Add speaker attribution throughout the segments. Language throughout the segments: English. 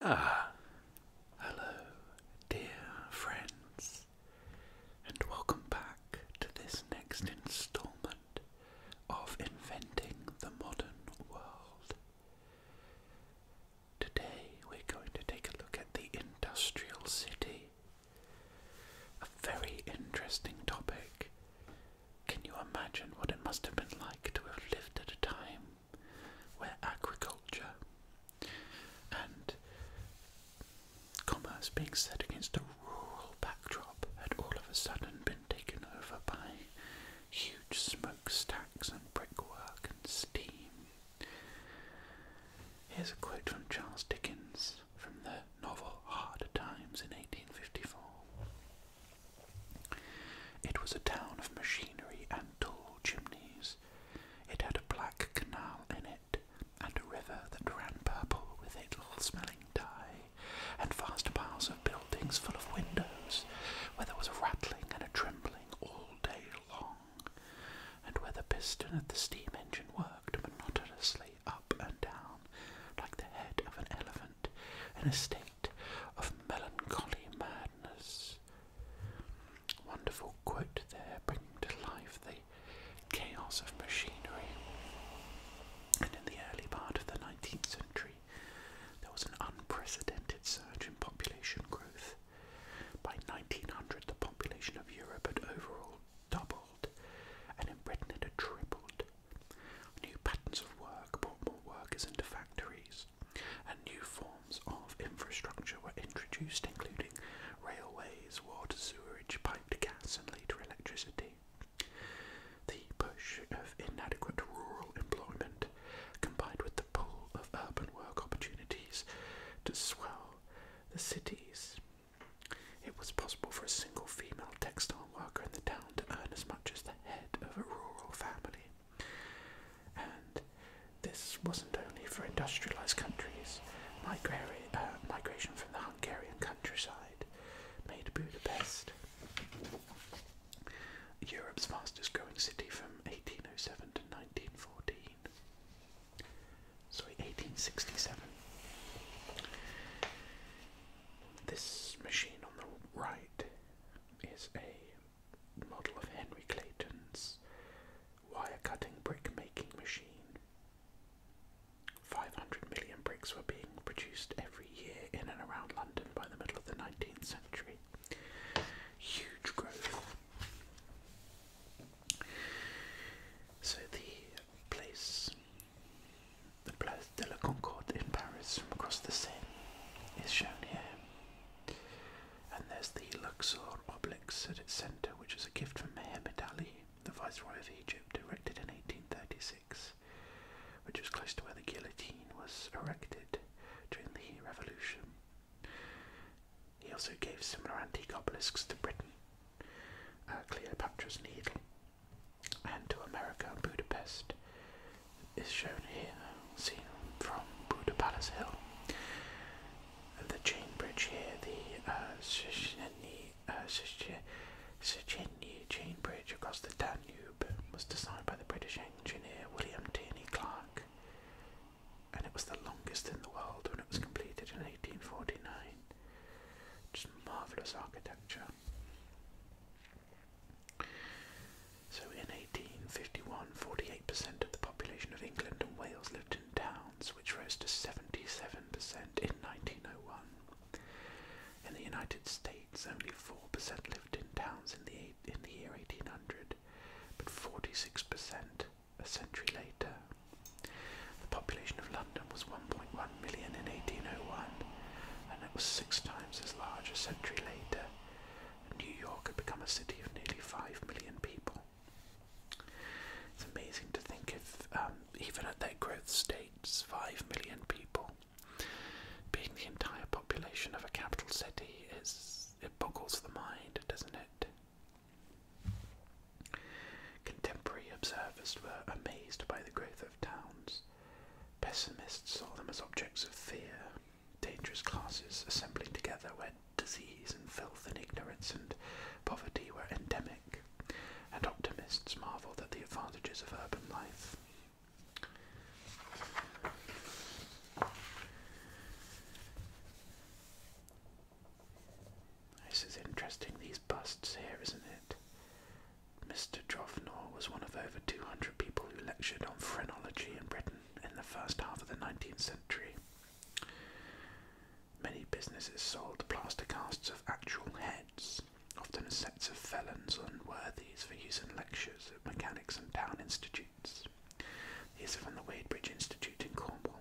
Speaker 1: Ah, hello, dear friends, and welcome back to this next instalment of Inventing the Modern World. Today we're going to take a look at the industrial city, a very interesting topic can you imagine what it must have been like to have lived at a time where agriculture and commerce being set against a rural backdrop had all of a sudden been taken over by huge smokestacks and brickwork and steam? Here's a quote from Charles Dickens from the novel Hard Times in 1854. It was a town of machinery and tall chimneys. It had a black canal in it, and a river that ran purple with a little smelling dye, and vast piles of buildings full of windows, where there was a rattling and a trembling all day long, and where the piston of the steam engine worked monotonously up and down, like the head of an elephant, in a state of melancholy madness. Wonderful quote there, bringing to life the chaos of machinery. And in the early part of the 19th century, there was an unprecedented surge in population growth. By 1900, the population of Europe had overall doubled, and in Britain it had tripled. New patterns of work brought more workers into factories, and new forms of infrastructure were introduced, including railways, water, sewerage, piped gas, and later electricity. The push of inadequate rural employment, combined with the pull of urban work opportunities to swell the cities, it was possible for a single female textile worker in the town to earn as much as the head of a rural family. And this wasn't only for industrialized countries. Uh, migration from the Hungarian countryside made Budapest Europe's fastest growing city from 1807 to 1914. Sorry, 1867. This machine on the right is a model of Henry Clayton's wire cutting brick making machine. 500 million bricks were being produced every year in and around London by the middle of the 19th century. Huge growth. So the place the Place de la Concorde in Paris across the Seine is shown here. And there's the Luxor obelisk at its centre, which is a gift from Mehemet Ali, the Viceroy of Egypt, erected in 1836, which was close to where the guillotine was erected during the Revolution. He also gave similar antique obelisks to Britain. Uh, Cleopatra's Needle and to America, Budapest is shown here, seen from Budapest Hill. the chain bridge here, the uh, uh chain bridge across the Danube, was designed by the British engineer William Tierney Clark, and it was the longest in the world when it was completed in 1849. Just marvellous architecture. So in 1851, 48% of the population of England and Wales lived in towns, which rose to 77% in 1901. In the United States, only 4% lived in towns in the, in the year 1800, but 46% a century later. The population of London was 1.1 million in 1801, it was six times as large a century later. New York had become a city of nearly five million people. It's amazing to think of, um, even at their growth states, five million people being the entire population of a capital city is it boggles the mind, doesn't it? Contemporary observers were amazed by the growth of towns. Pessimists saw them as objects of fear, dangerous classes assembling together where disease and filth and ignorance and poverty were endemic, and optimists marvelled at the advantages of urban life. This is interesting, these busts here, isn't it? Mr. Jofnor was one of over 200 people who lectured on phrenology in Britain in the first half of the 19th century. Many businesses sold plaster casts of actual heads, often sets of felons and worthies for use in lectures at mechanics and town institutes. These are from the Wadebridge Institute in Cornwall.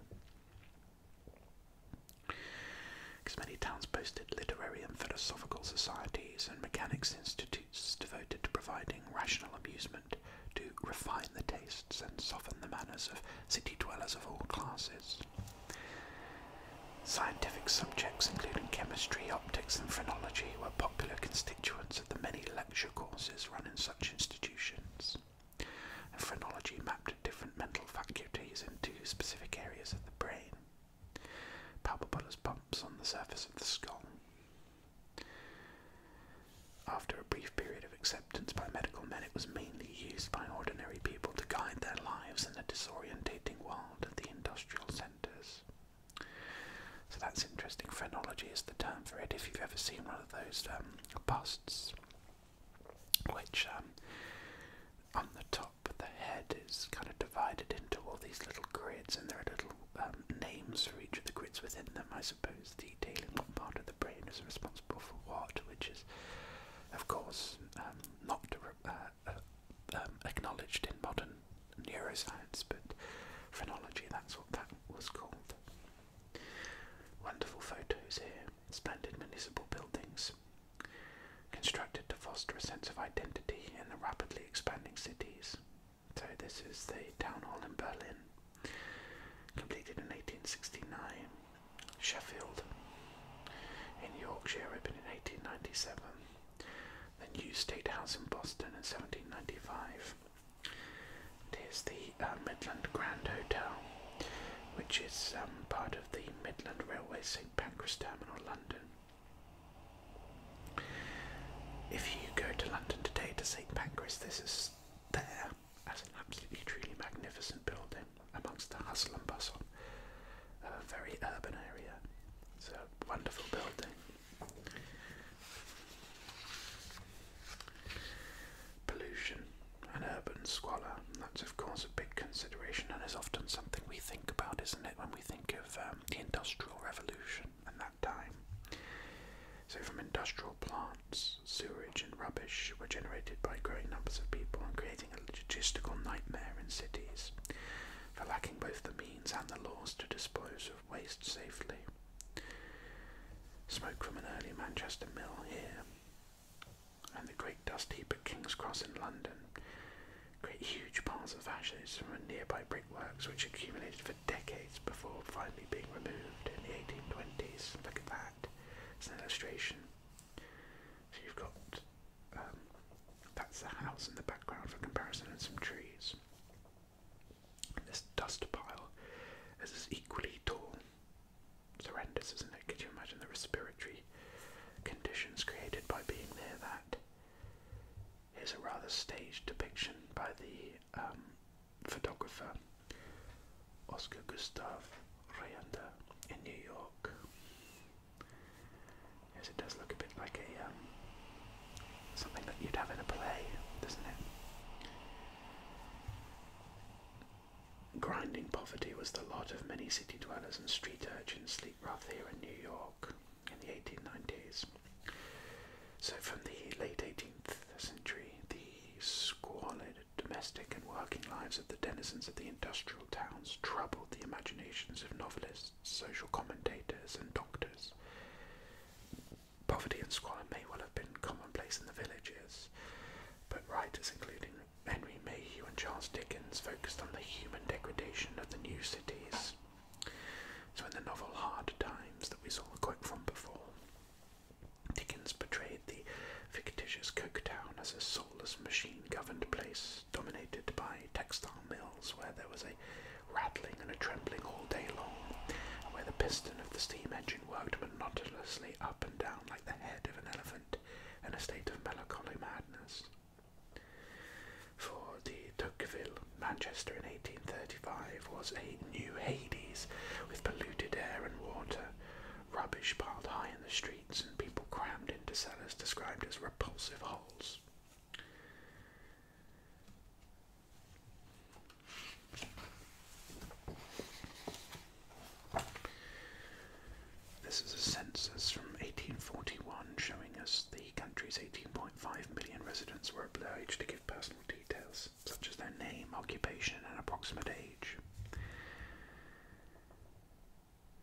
Speaker 1: Because many towns boasted literary and philosophical societies and mechanics institutes devoted to providing rational amusement to refine the tastes and soften the manners of city dwellers of all classes. Scientific subjects including chemistry, optics and phrenology were popular constituents of the many lecture courses run in such institutions. phrenology mapped different mental faculties into specific areas of the brain palpable bumps on the surface of the skull. After a brief period of acceptance by medical men, it was mainly used by ordinary people to guide their lives in the disorientating world of the industrial centres. So that's interesting. Phrenology is the term for it. If you've ever seen one of those um, busts, which um, on the top of the head is kind of divided into all these little grids, and there are little um, names for each of the grids within them, I suppose, the what part of the brain is responsible for what, which is, of course, um, not uh, uh, um, acknowledged in modern neuroscience, but phrenology, that's what that was called. Wonderful photos here, splendid municipal buildings, constructed to foster a sense of identity in the rapidly expanding cities. So this is the town hall in Berlin, completed in 1869. Sheffield in Yorkshire opened in 1897. The new state house in Boston in 1795. Here's the uh, Midland Grand Hotel, which is um, part of the Midland Railway St Pancras Terminal, London. If you go to London today to St Pancras, this is there as an absolutely truly magnificent building amongst the hustle and bustle. of A very urban area. It's a wonderful building. Pollution and urban squalor, that's of course a big consideration and is often something we think about, isn't it, when we think of uh, um, the Industrial Revolution and that time. So, from industrial plants, sewage and rubbish were generated by growing numbers of people and creating a logistical nightmare in cities for lacking both the means and the laws to dispose of waste safely. Smoke from an early Manchester mill here and the great dust heap at King's Cross in London create huge piles of ashes from a nearby brickworks which accumulated for decades before finally being removed in the 1820s. Look at that. It's an illustration. So you've got um, that's the house in the background for comparison and some trees. this dust pile is as equally tall. It's horrendous, isn't it? Could you imagine the respiratory conditions created by being near that? Here's a rather staged depiction by the um, photographer Oscar Gustave Reander in New York. Yes, it does look a bit like a um, something that you'd have in a play, doesn't it? Grinding poverty was the lot of many city dwellers and street urchins sleep rough here in New York in the 1890s. So, from the late 18th century, the squalid domestic and working lives of the denizens of the industrial towns troubled the imaginations of novelists, social commentators, and doctors. Poverty and squalor may well have been commonplace in the villages, but writers including Henry Mayhew and Charles Dickens focused on the human degradation of the new cities so, in the novel Hard Times that we saw a quote from before, Dickens portrayed the fictitious Coketown as a soulless, machine governed place dominated by textile mills where there was a rattling and a trembling all day long, and where the piston of the steam engine worked monotonously up and down like the head of an elephant in a state of melancholy madness. For the Tocqueville, Manchester in 1835 was a new Hades with polluted air and water, rubbish piled high in the streets, and people crammed into cellars described as repulsive holes. This is a census from 1841 showing us the country's 18.5 Five million residents were obliged to give personal details, such as their name, occupation, and approximate age.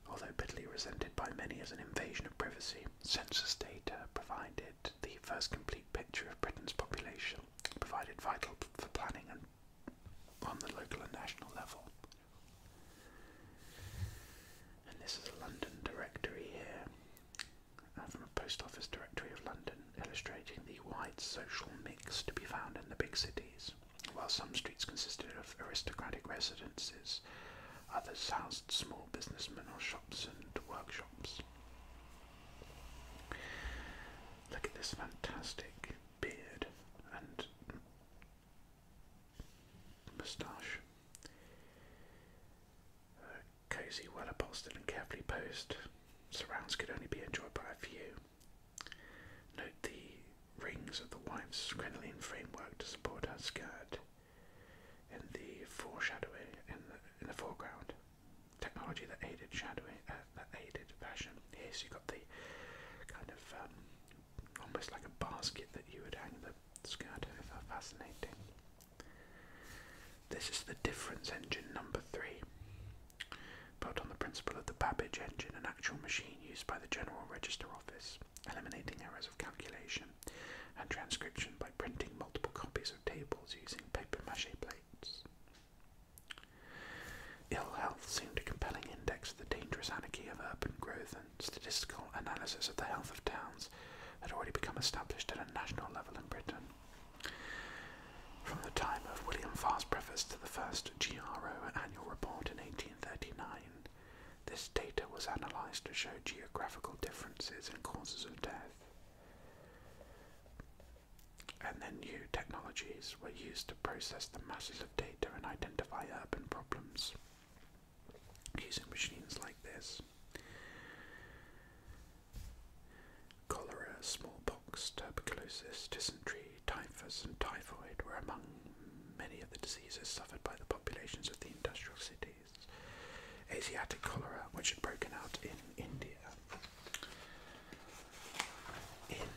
Speaker 1: Although bitterly resented by many as an invasion of privacy, census data provided the first complete picture of Britain's population, provided vital for planning on the local and national level. And this is a London directory here. Uh, from a post office directory of London, illustrating the wide social mix to be found in the big cities. While some streets consisted of aristocratic residences, others housed small businessmen or shops and workshops. Look at this fantastic beard and moustache cosy, well upholstered and carefully posed surrounds could only be enjoyed by a few. Note the rings of the wife's crinoline framework to support her skirt in the foreshadowing in the, in the foreground. Technology that aided shadowing, uh, that aided fashion. Yes, so you got the kind of um, almost like a basket that you would hang the skirt over. Fascinating. This is the difference engine number three. Built on the principle of the Babbage engine, an actual machine used by the General Register Office, eliminating errors of calculation and transcription by printing multiple copies of tables using paper mache plates. Ill health seemed a compelling index of the dangerous anarchy of urban growth statistical analysis of the health of towns had already become established at a national level in Britain. From the time of William Farr's preface to the first GRO annual report in 1839, this data was analysed to show geographical differences in causes of death. And then new technologies were used to process the masses of data and identify urban problems using machines like this. Cholera, smallpox, tuberculosis, dysentery, typhus, and typhoid were among many of the diseases suffered by the populations of the industrial cities. Asiatic cholera, which had broken out in India. In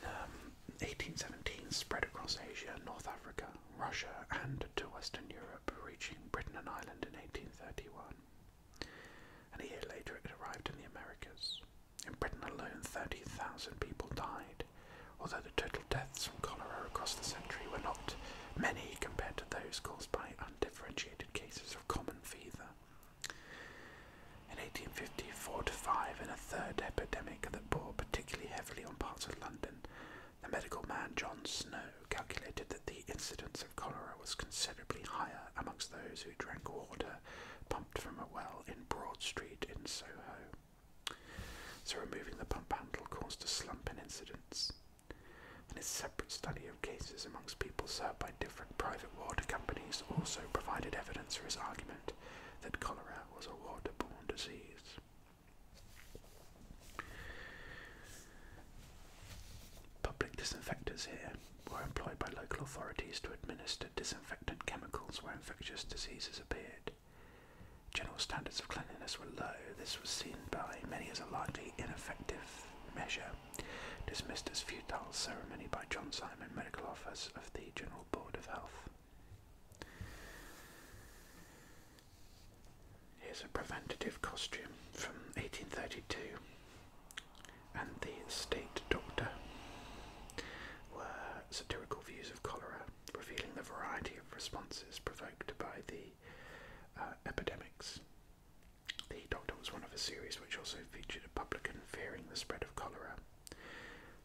Speaker 1: 1817, um, spread across Asia, and North Africa, Russia, and to Western Europe, reaching Britain and Ireland in 1831. And a year later, it arrived in the Americas. In Britain alone, 30,000 people died, although the total deaths from cholera across the century were not many compared to those caused by undifferentiated cases of common fever. In 1854 five and a third epidemic that bore particularly heavily on parts of London, the medical man John Snow calculated that the incidence of cholera was considerably higher amongst those who drank water pumped from a well in Broad Street in Soho. So removing the pump handle caused a slump in incidence. And a separate study of cases amongst people served by different private water companies also provided evidence for his argument that cholera was a water waterborne disease. Public disinfectors here were employed by local authorities to administer disinfectant chemicals where infectious diseases appeared. General standards of cleanliness were low. This was seen by many as a largely ineffective measure, dismissed as futile ceremony by John Simon, Medical officer of the General Board of Health. Here's a preventative costume from 1832, and the state doctor were satirical views of cholera, revealing the variety of responses provoked by the uh, epidemics. The Doctor was one of a series which also featured a publican fearing the spread of cholera,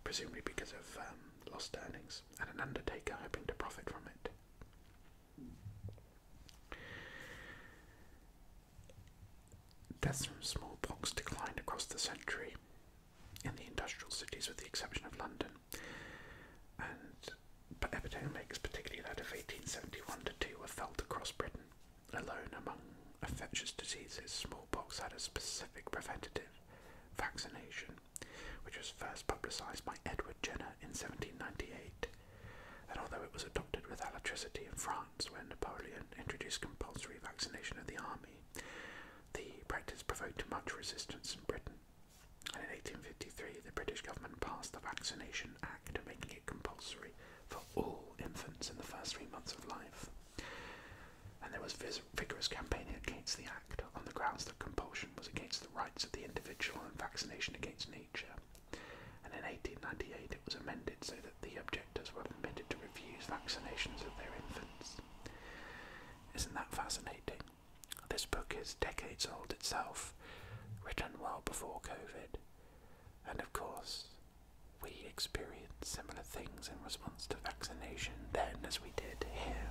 Speaker 1: presumably because of um, lost earnings, and an undertaker hoping to profit from it. Deaths from smallpox declined across the century in the industrial cities, with the exception of London. And but epidemics, particularly that of 1871 to 2, were felt across Britain. Alone among infectious diseases, smallpox had a specific preventative vaccination, which was first publicised by Edward Jenner in 1798. And although it was adopted with electricity in France when Napoleon introduced compulsory vaccination of the army, the practice provoked much resistance in Britain. And in 1853, the British government passed the Vaccination Act, making it compulsory for all infants in the first three months of life. And there was vigorous campaigning against the act on the grounds that compulsion was against the rights of the individual and vaccination against nature. And in 1898 it was amended so that the objectors were permitted to refuse vaccinations of their infants. Isn't that fascinating? This book is decades old itself, written well before COVID. And of course, we experienced similar things in response to vaccination then as we did here.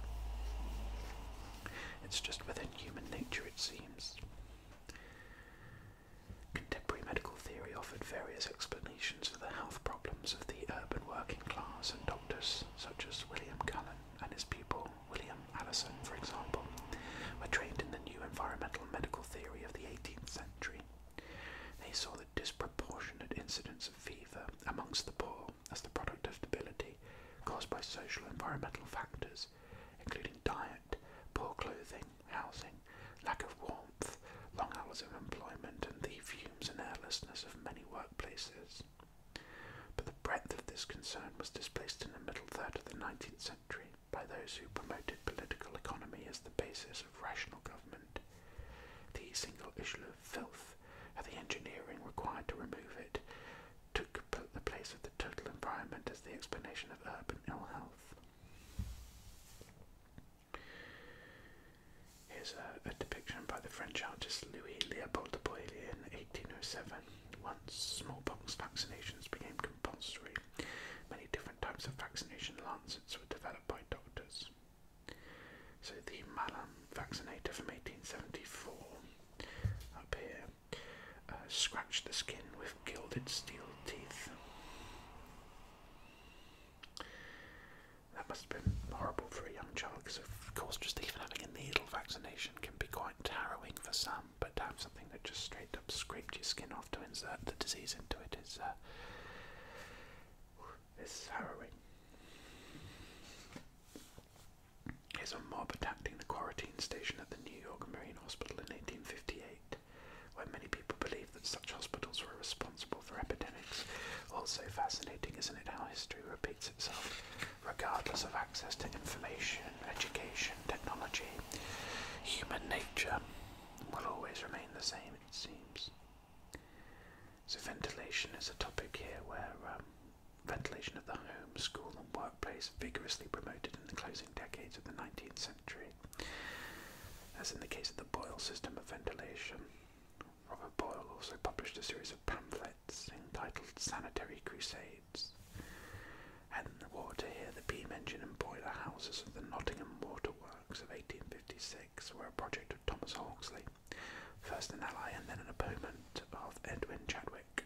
Speaker 1: It's just within human nature, it seems. Contemporary medical theory offered various explanations for the health problems of the urban working class and doctors, such as William Cullen and his pupil William Allison, for example, were trained in the new environmental medical theory of the 18th century. They saw the disproportionate incidence of fever amongst the poor as the product of debility caused by social environmental factors including diet, poor clothing, housing, lack of warmth, long hours of employment, and the fumes and airlessness of many workplaces. But the breadth of this concern was displaced in the middle third of the 19th century by those who promoted political economy as the basis of rational government. The single issue of filth, and the engineering required to remove it, took the place of the total environment as the explanation of urban ill health. Here's a, depiction by the French artist Louis Leopold de Broglie in 1807. Once smallpox vaccinations became compulsory, many different types of vaccination lancets were developed by doctors. So the Malam vaccinator from 1874 up here uh, scratch the skin with gilded steel teeth. That must have been horrible for a young child, because of course, just even having a needle vaccination can be quite harrowing for some. But to have something that just straight up scraped your skin off to insert the disease into it is uh, is harrowing is a mob attacking the quarantine station at the New York Marine Hospital in 1858, where many people believed that such hospitals were responsible for epidemics. Also fascinating, isn't it, how history repeats itself, regardless of access to information, education, technology. Human nature will always remain the same, it seems. So ventilation is a topic here where um, ventilation of the home, school, and workplace vigorously promoted in the closing decades of the 19th century. As in the case of the Boyle system of ventilation, Robert Boyle also published a series of pamphlets entitled Sanitary Crusades and the water here, the Beam Engine and Boiler Houses of the Nottingham Waterworks of 1856 were a project of Thomas Hawksley, first an ally and then an opponent of Edwin Chadwick.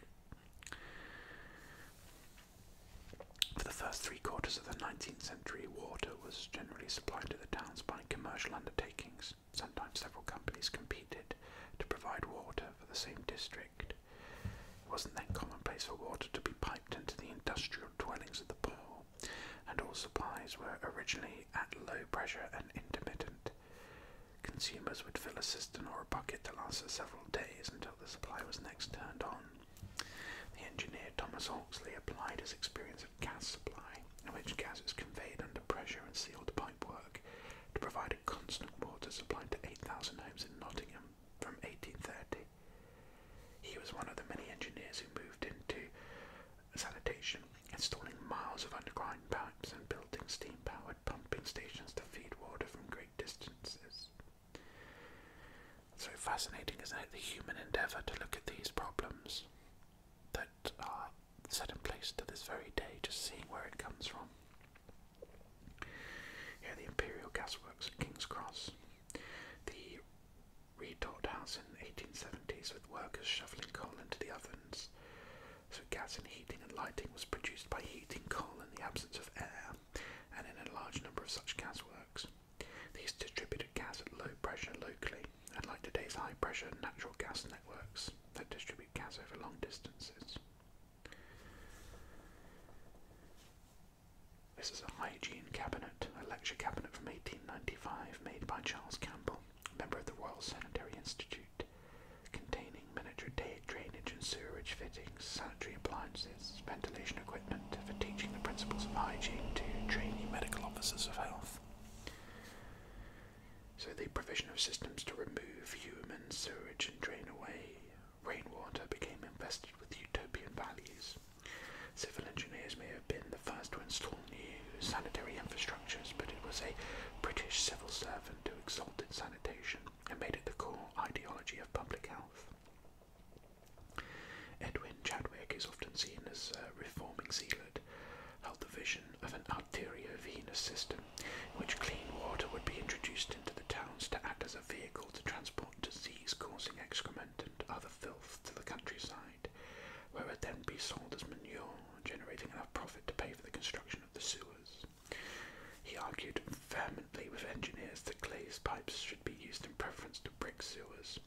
Speaker 1: For the first three quarters of the 19th century, water was generally supplied to the towns by commercial undertakings. Sometimes several companies competed to provide water for the same district. It wasn't then commonplace for water to be piped into the industrial dwellings of the poor, and all supplies were originally at low pressure and intermittent. Consumers would fill a cistern or a bucket to last for several days until the supply was next turned on. The engineer Thomas Hawksley applied his experience of gas supply, in which gas is conveyed under pressure and sealed pipe work, to provide a constant water supply to 8,000 homes in Nottingham from 1830. He was one of the many engineers who moved into sanitation, installing miles of underground pipes and building steam powered pumping stations to feed water from great great distances. So fascinating, isn't it? The human endeavour to look at these problems that are set in place to this very day, just seeing where it comes from. Here, the Imperial Gas Works at King's Cross, the retort house in the 1870s with workers shoveling coal into the ovens, so gas in heating and lighting was produced by heating coal in the absence of air and in a large number of such gasworks. These distributed gas at low pressure locally, unlike today's high pressure natural gas networks that distribute gas over long distances. This is a hygiene cabinet, a lecture cabinet from 1895 made by Charles Campbell, member of the Royal Sanitary Institute containing miniature drainage and sewerage fittings, sanitary appliances, ventilation equipment for teaching the principles of hygiene to trainee medical officers of health. So the provision of systems to remove human sewage and drain away rainwater became invested with utopian values. Civil engineers may have been the first to install new sanitary infrastructures, but it was a British civil servant who exalted sanitation and made it the core ideology of public health. Edwin Chadwick is often seen as a reforming zealot. held the vision of an arteriovenous system in which clean water would be introduced into the towns to act as a vehicle to transport disease-causing excrement and other filth to the countryside, where it would then be sold as manure, generating enough profit to pay for the construction of the sewers. He argued vehemently with engineers that glazed pipes should be used in preference to brick sewers,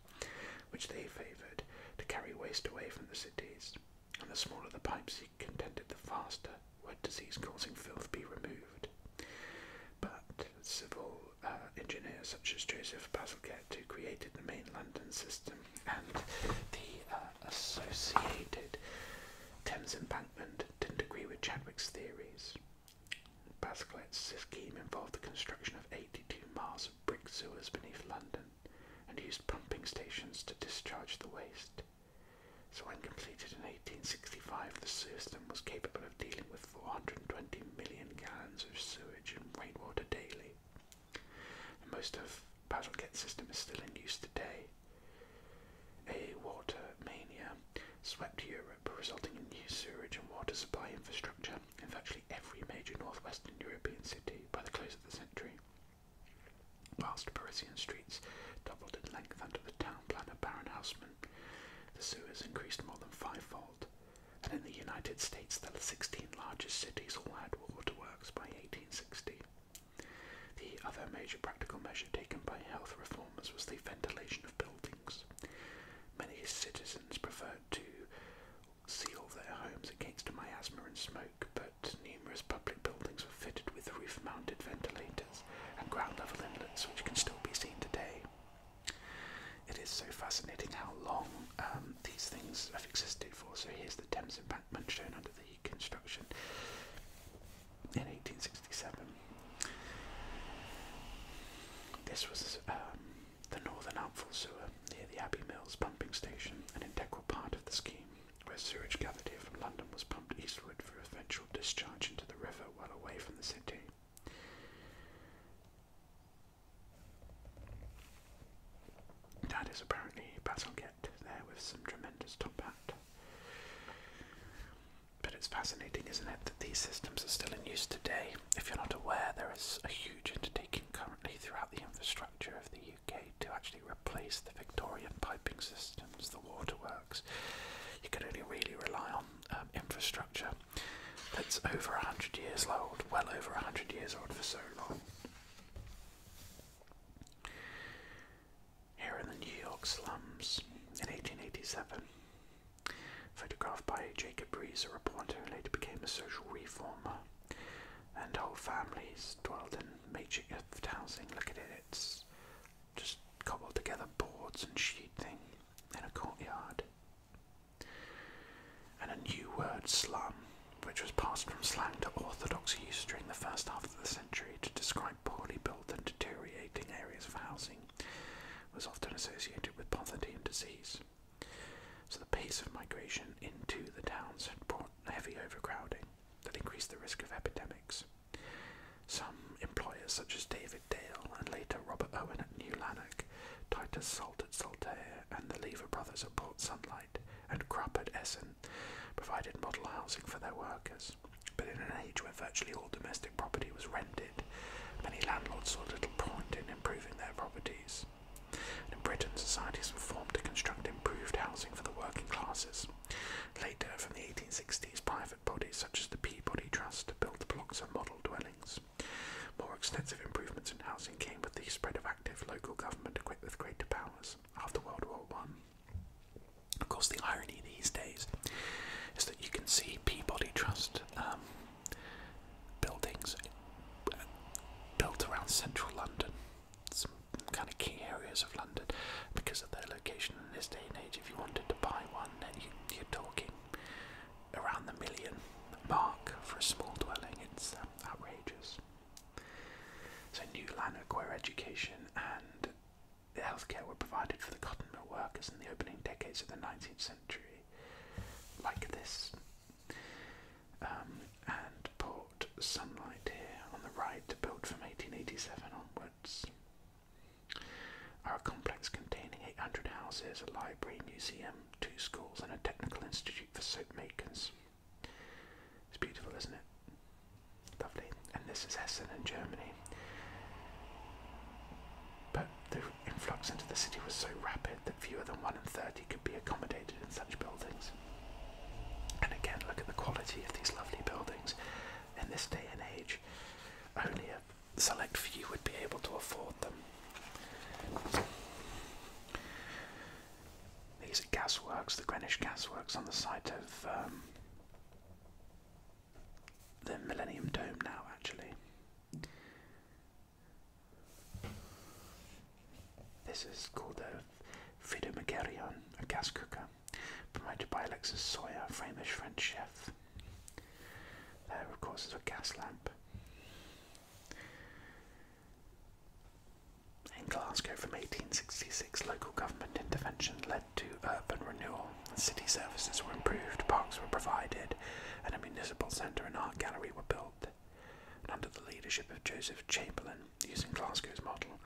Speaker 1: which they favoured, to carry waste away from the cities. And the smaller the pipes, he contended, the faster would disease-causing filth be removed. But civil uh, engineers such as Joseph Bazalgette, who created the main London system and the uh, associated Thames Embankment, didn't agree with Chadwick's theories. Basquiat's scheme involved the construction of 82 miles of brick sewers beneath London and used pumping stations to discharge the waste. So when completed in 1865, the system was capable of dealing with 420 million gallons of sewage and rainwater daily. most of Basel system is still in use today, a water mania swept Europe, resulting in new sewage and water supply infrastructure in virtually every major northwestern European city by the close of the century. Whilst Parisian streets doubled in length under the town planner Baron Haussmann, the sewers increased more than fivefold, and in the United States the 16 largest cities all had waterworks by 1860. The other major practical measure taken by health reformers was the ventilation of buildings. Many citizens preferred to seal their homes against miasma and smoke, but numerous public buildings were fitted with roof mounted ventilators and ground level inlets, which can still be seen today. It is so fascinating how long um, these things have existed for. So here's the Thames embankment shown under the reconstruction in 1867. This was um, the northern outfall sewer near the Abbey Mills pumping station, an integral part of the scheme where sewage gathered here from London was pumped eastward for eventual discharge into the river well away from the city. That is apparently Bazalgette there with some tremendous top hat but it's fascinating, isn't it, that these systems are still in use today. If you're not aware, there is a huge undertaking currently throughout the infrastructure of the UK to actually replace the Victorian piping systems, the waterworks. You can only really rely on um, infrastructure that's over 100 years old, well over 100 years old for so long here in the New York slums in 1887. Photographed by Jacob Rees, a reporter who later became a social reformer, and whole families dwelled in makeshift housing. Look at it, it's just cobbled together boards and sheeting in a courtyard. And a new word, slum, which was passed from slang to orthodox use during the first half of the century to describe poorly built and deteriorating areas of housing was often associated with poverty and disease. So the pace of migration into the towns had brought heavy overcrowding that increased the risk of epidemics. Some employers such as David Dale and later Robert Owen at New Lanark, Titus Salt at Saltaire, and the Lever brothers at Port Sunlight and Krupp at Essen provided model housing for their workers, but in an age when virtually all domestic property was rented, many landlords saw little point in improving their properties. in Britain, societies were formed to construct improved housing for the working classes. Later, from the 1860s, private bodies such as the Peabody Trust built blocks of model dwellings. More extensive improvements in housing came with the spread of active local government equipped with greater powers after World War One. Of course, the irony these days is that you can see Peabody Trust um, buildings built around central London, some kind of key areas of London, because of their location in this day and age. If you wanted to buy one, then you, are talking around the million mark for a small dwelling. It's um, outrageous. So, New Lanark, where education and the healthcare were provided for the cotton mill workers in the opening decades of the 19th century, like this. Um, and Port Sunlight here on the right, built from 1887 onwards, our complex containing 800 houses, a library, museum, two schools, and a technical institute for soap makers. It's beautiful, isn't it? Lovely. And this is Essen in Germany. But the influx into the city was so rapid that fewer than one in 30 could be accommodated in such buildings. And again, look at the quality of these lovely buildings. In this day and age, only a select few would be able to afford them. These are gasworks, the Greenwich gasworks on the site of um, the Millennium Dome now, actually. This is called the Fidomagerion, a gas cooker, promoted by Alexis Sawyer, a famous French chef. There, of course, is a gas lamp in Glasgow from 1866, local government intervention led to urban renewal. City services were improved, parks were provided, and a municipal centre and art gallery were built. under the leadership of Joseph Chamberlain, using Glasgow's model,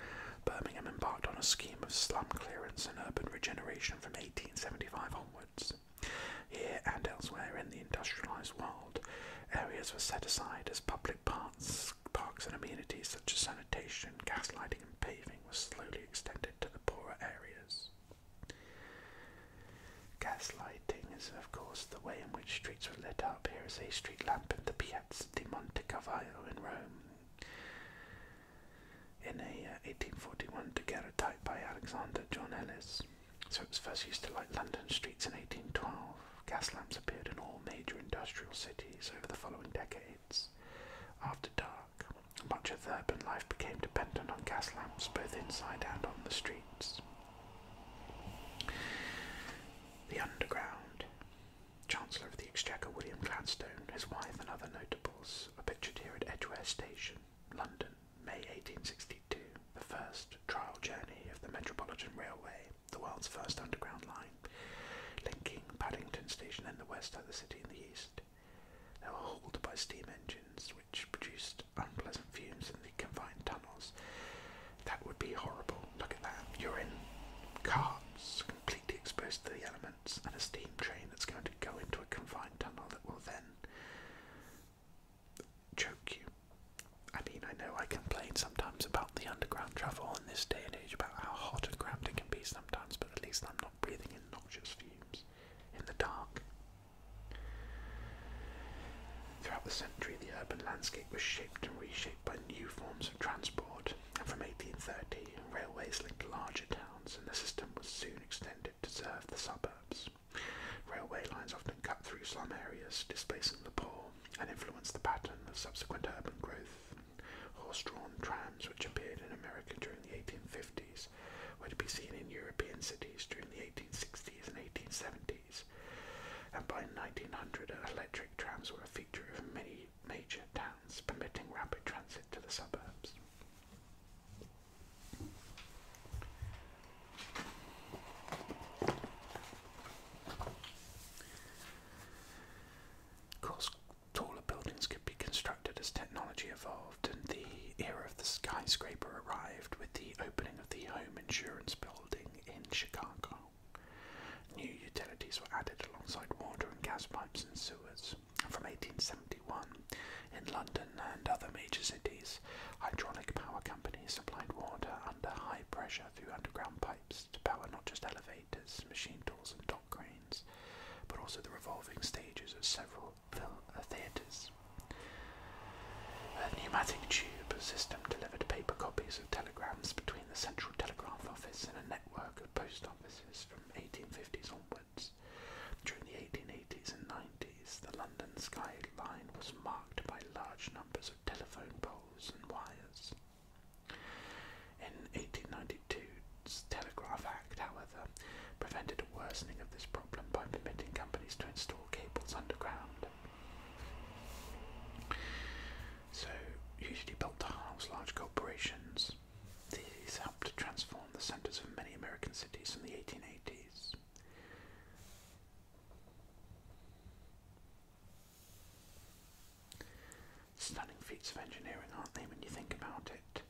Speaker 1: Birmingham embarked on a scheme of slum clearance and urban regeneration from 1875 onwards. Here and elsewhere in the industrialised world, areas were set aside as public parks, parks and amenities such as sanitation, gas lighting, and paving were slowly extended to the poorer areas. Gas lighting is of course the way in which streets were lit up. Here is a street lamp in the Piazza di Monte Cavallo in Rome. In a uh, 1841 daguerreotype by Alexander John Ellis. So it was first used to light London streets in 1812. Gas lamps appeared in all major industrial cities over the following decade. After dark, much of urban life became dependent on gas lamps both inside and on the streets. The Underground. Chancellor of the Exchequer William Gladstone, his wife, and other notables are pictured here at Edgware Station, London, May 1862, the first trial journey of the Metropolitan Railway, the world's first underground line linking Paddington Station in the west and the city in the east. They were hauled by steam engines, which produced unpleasant fumes in the confined tunnels. That would be horrible. Look at that. You're in carts, completely exposed to the elements, and a steam train that's going to go into a confined tunnel that will then choke you. I mean, I know I complain sometimes about the underground travel in this day and age about how hot and cramped it can be sometimes, but at least I'm not breathing in noxious fumes in the dark. Throughout the century, the urban landscape was shaped and reshaped by new forms of transport, and from 1830, railways linked larger towns, and the system was soon extended to serve the suburbs. Railway lines often cut through slum areas, displacing the poor, and influenced the pattern of subsequent urban growth horse-drawn trams which appeared in America during the 1850s were to be seen in European cities during the 1860s and 1870s, and by 1900 electric trams were a feature of many major towns, permitting rapid transit to the suburbs taller buildings could be constructed as technology evolved and the era of the skyscraper arrived with the opening of the home insurance building in Chicago. New utilities were added alongside water and gas pipes and sewers. From 1871, in London and other major cities, hydraulic power companies supplied water under high pressure through underground pipes to power not just elevators, machine tools, and cranes, but also the revolving stages of several uh, theatres. A pneumatic tube system delivered paper copies of telegrams between the central telegraph office and a network of post offices from 1850s onwards. During the 1880s and 90s, the London skyline was marked by large numbers of telephone poles and wires. In 1892's Telegraph Act, however, prevented a worsening of this problem by permitting companies to install cables underground. So, usually built to house large corporations, these helped to transform the centers of many American cities in the 1880s. Stunning feats of engineering, aren't they, when you think about it?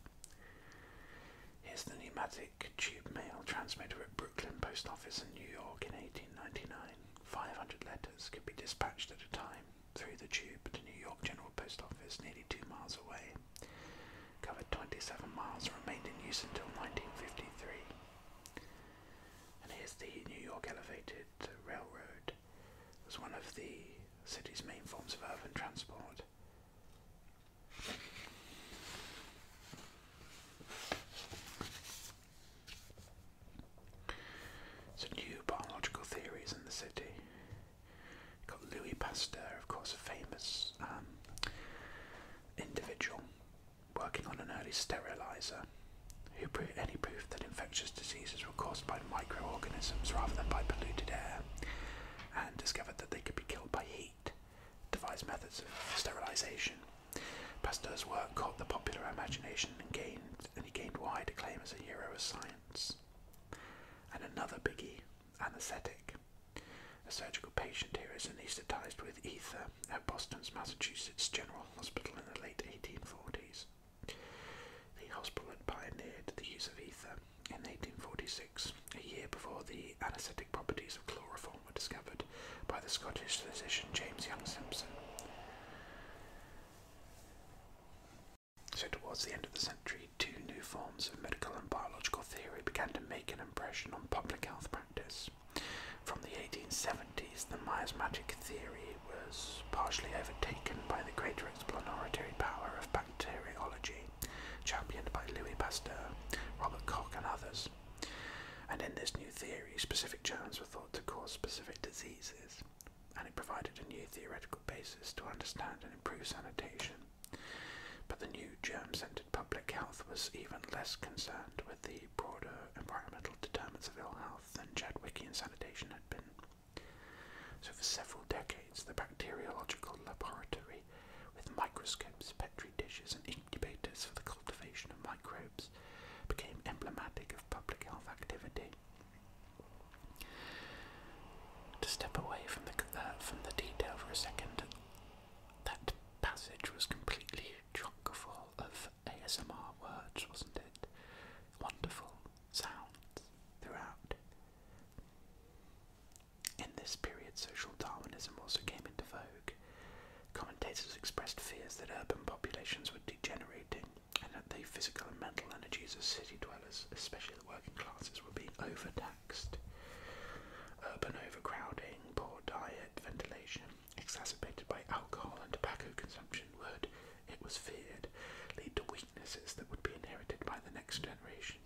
Speaker 1: Here's the pneumatic tube mail transmitter at Brooklyn Post Office in New York in 1899. 500 letters could be dispatched at a time through the tube to New York General Post Office, nearly two miles away. Covered 27 miles, remained in use until 1953. And here's the New York Elevated noted railroad was one of the city's main forms of urban transport. So new biological theories in the city. got Louis Pasteur, of course, a famous um, individual working on an early sterilizer who proved any proof that infectious diseases were caused by microorganisms rather than by polluted air, and discovered that they could be killed by heat, devised methods of sterilisation. Pasteur's work caught the popular imagination and gained and he gained wide acclaim as a hero of science. And another biggie, anaesthetic. A surgical patient here is anaesthetised with ether at Boston's Massachusetts General Hospital in the late 1840s. The hospital had pioneered the use of ether in 1846, a year before the anaesthetic properties of chloroform were discovered by the Scottish physician James Young Simpson. So, towards the end of the century, two new forms of medical and biological theory began to make an impression on public health practice. From the 1870s, the miasmic theory was partially overtaken by the greater exploratory power of bacteriology, championed by Louis Pasteur, Robert Koch, and others. And in this new theory, specific germs were thought to cause specific diseases, and it provided a new theoretical basis to understand and improve sanitation. But the new germ centered public health was even less concerned with the broader environmental determinants of ill health than and sanitation had been. So, for several decades, the bacteriological laboratory, with microscopes, petri dishes, and incubators for the cultivation of microbes, became emblematic of public health activity. To step away from the, uh, from the detail for a second, that passage was completely chock full of ASMR words, wasn't it? Wonderful, sounds throughout. In this period, social Darwinism also came into vogue. Commentators expressed fears that urban populations were degenerating and that the physical and mental energies of city dwellers, especially the working classes, were being overtaxed. Urban overcrowding, poor diet, ventilation, exacerbated by alcohol and tobacco consumption, would it was feared, lead to weaknesses that would be inherited by the next generation,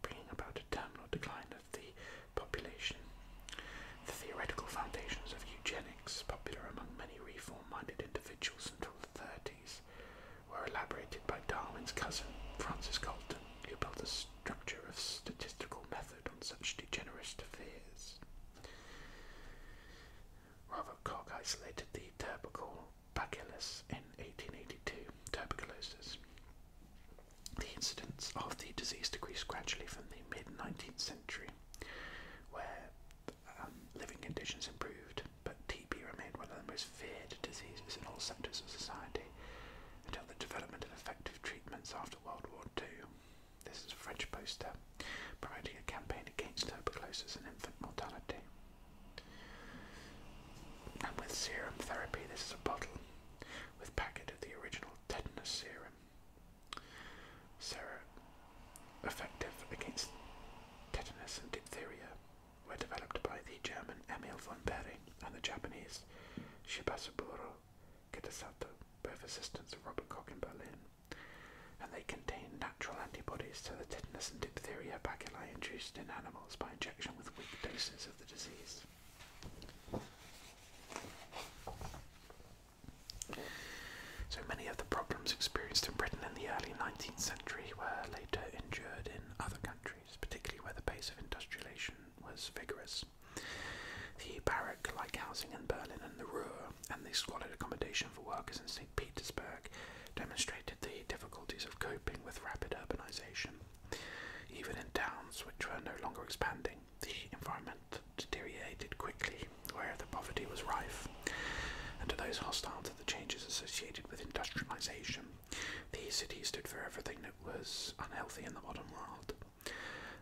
Speaker 1: bringing about a terminal decline of the population. The theoretical foundations of eugenics, popular among many reform-minded individuals until the 30s, were elaborated by Darwin's cousin, Francis Galton, who built a structure of statistical method on such degenerate fears. Ravikok isolated the tubercle bacillus in 1882, tuberculosis. The incidence of the disease decreased gradually from the mid 19th century, where um, living conditions improved, but TB remained one of the most feared diseases in all sectors of society until the development of effective treatments after World War II. This is a French poster promoting a campaign against tuberculosis and infant mortality. And with serum therapy, this is a bottle with packet of the original tetanus serum. Serum effective against tetanus and diphtheria were developed by the German Emil von Behring and the Japanese Shibasaburo Kitasato, both assistants of Robert Koch in Berlin and they contain natural antibodies to the tetanus and diphtheria bacilli induced in animals by injection with weak doses of the disease. So many of the problems experienced in Britain in the early 19th century were later endured in other countries, particularly where the pace of industrialisation was vigorous. The barrack like housing in Berlin and the Ruhr, and the squalid accommodation for workers in St. Petersburg demonstrated the difficulties of coping with rapid urbanization. Even in towns which were no longer expanding, the environment deteriorated quickly, where the poverty was rife. And to those hostile to the changes associated with industrialization, the city stood for everything that was unhealthy in the modern world.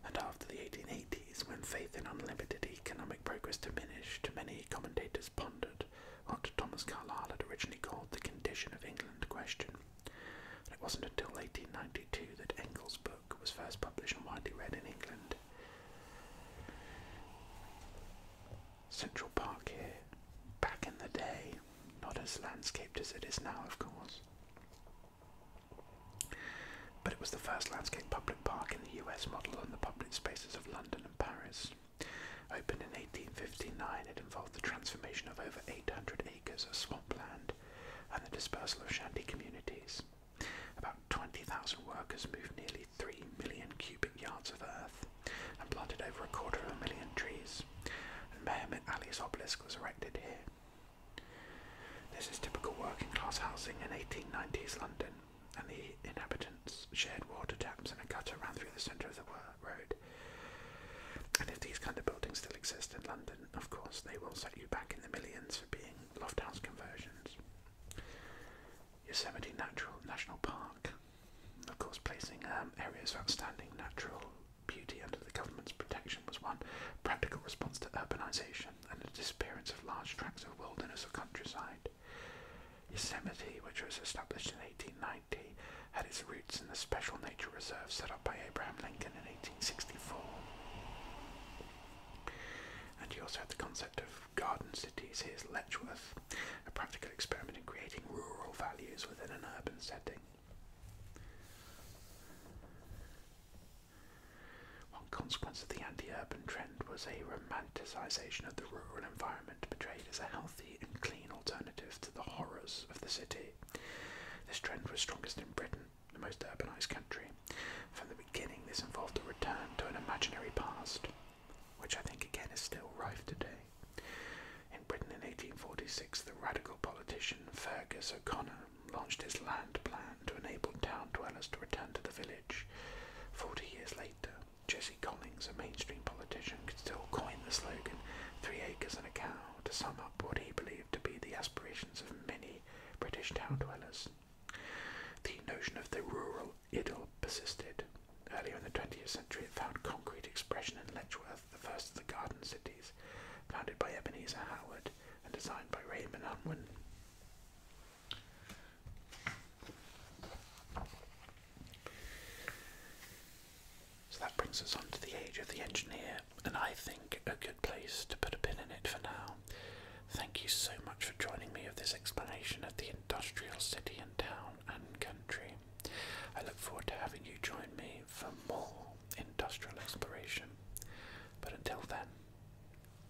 Speaker 1: And after the 1880s, when faith in unlimited economic progress diminished, many commentators pondered what Thomas Carlyle had originally called the condition of England question. And it wasn't until 1892 that Engel's book was first published and widely read in England. Central Park here, back in the day, not as landscaped as it is now, of course. But it was the first landscape public park in the US model on the public spaces of London and Paris. Opened in 1859, it involved the transformation of over 800 acres of swampland and the dispersal of shanty communities. About 20,000 workers moved nearly 3 million cubic yards of earth and planted over a quarter of a million trees. And Mehemet Ali's obelisk was erected here. This is typical working class housing in 1890s London, and the inhabitants shared water taps and a gutter ran through the centre of the road. And if these kind of buildings still exist in London, of course, they will set you back in the millions for being loft house conversions. Yosemite Natural National Park, of course, placing um, areas of outstanding natural beauty under the government's protection was one practical response to urbanisation and the disappearance of large tracts of wilderness or countryside. Yosemite, which was established in 1890, had its roots in the special nature reserve set up by Abraham Lincoln in 1864. And you also had the concept of garden cities. Here's Letchworth, a practical experiment in creating rural values within an urban setting. One consequence of the anti urban trend was a romantic romanticization of the rural environment portrayed as a healthy and clean alternative to the horrors of the city. This trend was strongest in Britain, the most urbanized country. From the beginning, this involved a return to an imaginary past, which I think again is still rife today. In Britain in 1846, the radical politician Fergus O'Connor launched his land plan to enable town dwellers to return to the village. Forty years later, Jesse Collins, a mainstream politician, could still coin the slogan Three Acres and a Cow to sum up what he believed to be the aspirations of many British town dwellers. The notion of the rural idyll persisted. Earlier in the 20th century, it found concrete expression in Letchworth, the first of the garden cities, founded by Ebenezer Howard and designed by Raymond Unwin. So that brings us on to the age of the engineer, and I think a good place to put a pin in it for now. Thank you so much for joining me of this explanation of the industrial city and town and country. I look forward to having you join me for more industrial exploration. But until then,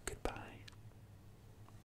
Speaker 1: goodbye.